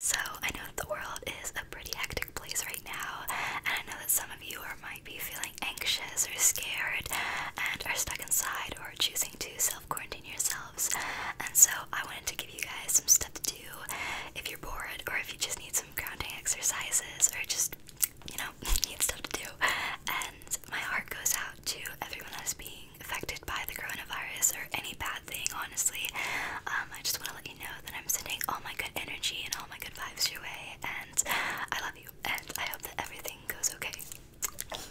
So, I know that the world is a pretty hectic place right now, and I know that some of you are, might be feeling anxious or scared and are stuck inside or choosing to self quarantine yourselves. And so, I wanted to give you guys some stuff to do if you're bored or if you just need some grounding exercises or just, you know, need stuff to do. And my heart goes out to everyone that's being affected by the coronavirus or any bad honestly. Um, I just want to let you know that I'm sending all my good energy and all my good vibes your way, and I love you, and I hope that everything goes okay.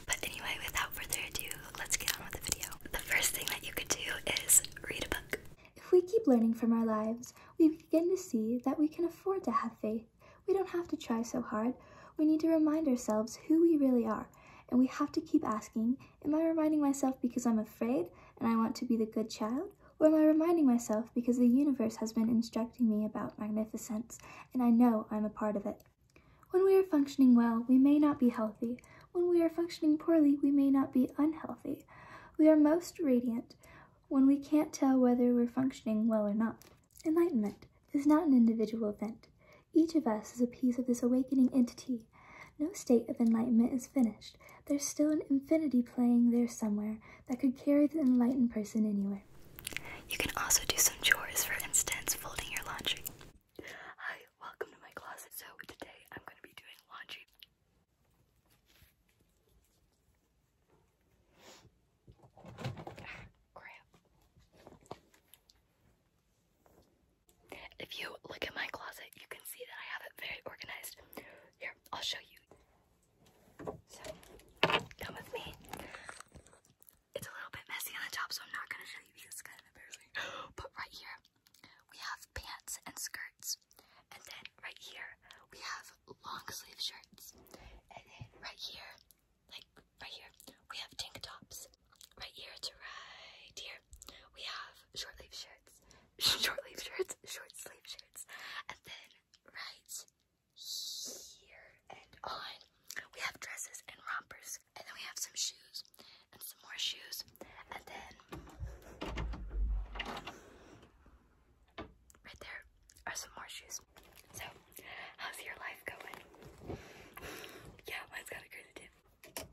But anyway, without further ado, let's get on with the video. The first thing that you could do is read a book. If we keep learning from our lives, we begin to see that we can afford to have faith. We don't have to try so hard. We need to remind ourselves who we really are, and we have to keep asking Am I reminding myself because I'm afraid and I want to be the good child? Or am I reminding myself because the universe has been instructing me about magnificence and I know I'm a part of it? When we are functioning well, we may not be healthy. When we are functioning poorly, we may not be unhealthy. We are most radiant when we can't tell whether we're functioning well or not. Enlightenment is not an individual event. Each of us is a piece of this awakening entity. No state of enlightenment is finished. There's still an infinity playing there somewhere that could carry the enlightened person anywhere. You can also do some chores, for instance, folding your laundry. Hi, welcome to my closet. So today I'm going to be doing laundry. crap. If you look at my closet, you can see that I have it very organized. Here, I'll show you. So, come with me. It's a little bit messy on the top, so I'm not gonna show you because kind of embarrassing. But right here, we have pants and skirts. And then right here, we have long sleeve shirts. And then right here, like right here, we have tank tops. Right here to right here, we have short sleeve shirts, short sleeve shirts, short sleeve shirts, and then right here and on, we have dresses and rompers, and then we have some shoes and some more shoes, and then right there are some more shoes. So How's your life going? yeah, mine's got a creative. tip.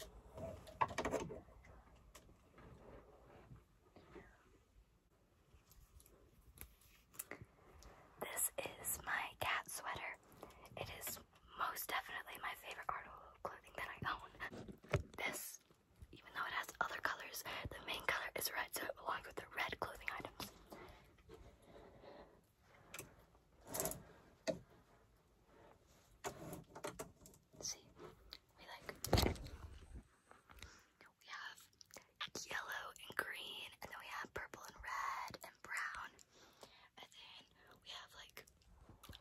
This is my cat sweater. It is most definitely my favorite article of clothing that I own. This, even though it has other colors, the main color is red, so it belongs with the red clothing items. See, we like we have yellow and green, and then we have purple and red and brown, and then we have like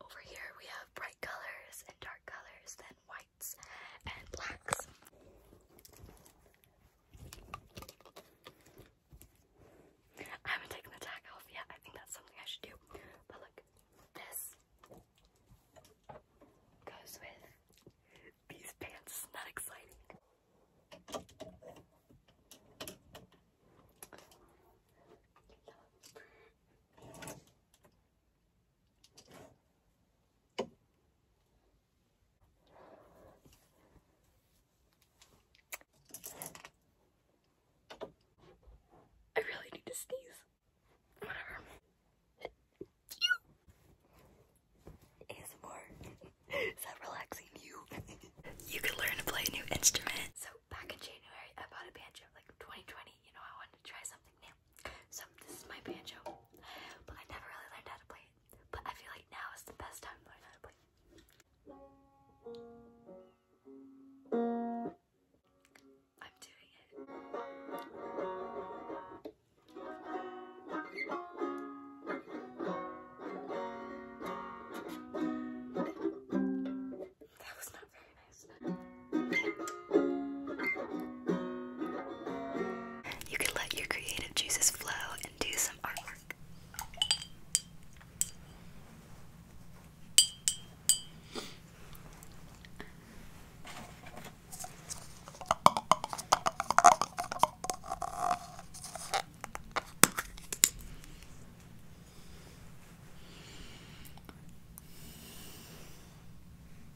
over here we have bright colors and dark colors, then whites and blacks. I haven't taken the tag off yet. I think that's something I should do. But look, this goes with these pants. Not exciting. I really need to sneeze. Whatever. You! Is that relaxing you? you can learn to play a new instrument. So back in January, I bought a banjo, like 2020. You know, I wanted to try something new. So this is my banjo, but I never really learned how to play it. But I feel like now is the best time I'm doing it. That was not very nice. You can let your creative juices flow and do some artwork.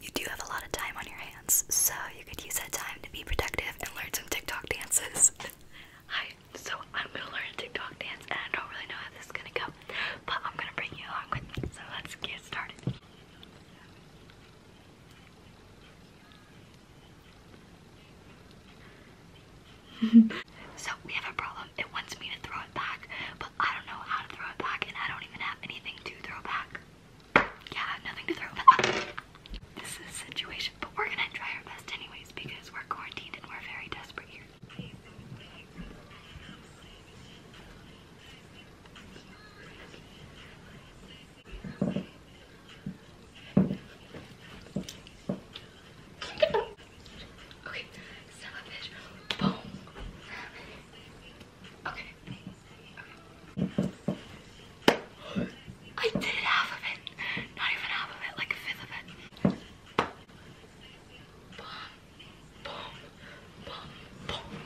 You do have a lot of time on your hands, so you could use that time to be productive and learn some TikTok dances. Hi, so I'm gonna learn a TikTok dance and I don't really know how this is gonna go, but I'm gonna bring you along with me. So let's get started. so we have a problem. It wants me to throw it back, but I don't know how to throw it back and I don't even have anything to throw back. Yeah, nothing to throw This is a situation but we're gonna try our best anyways because we're quarantined and we're very desperate here. Okay. I did half of it. Not even half of it, like a fifth of it. Boom, boom, boom, boom.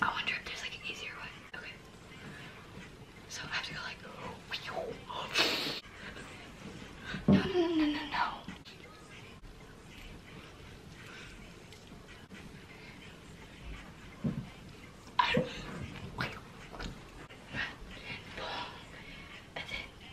I wonder if there's like an easier way. Okay. So I have to go like. No, no, no, no, no, no. And then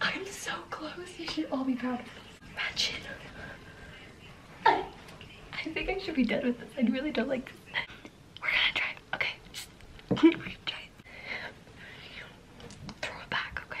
I'm so close. You should all be proud of me. Imagine. I, I think I should be done with this. I really don't like this. We're gonna try. Okay. Throw it back, Okay.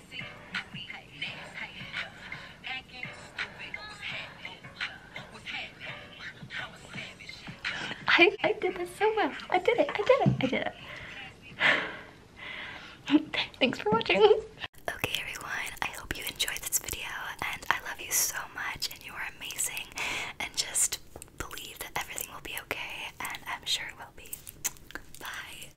I, I did this so well. I did it. I did it. I did it. Thanks for watching. Okay, everyone. I hope you enjoyed this video, and I love you so much, and you are amazing. And just believe that everything will be okay, and I'm sure it will be. Bye.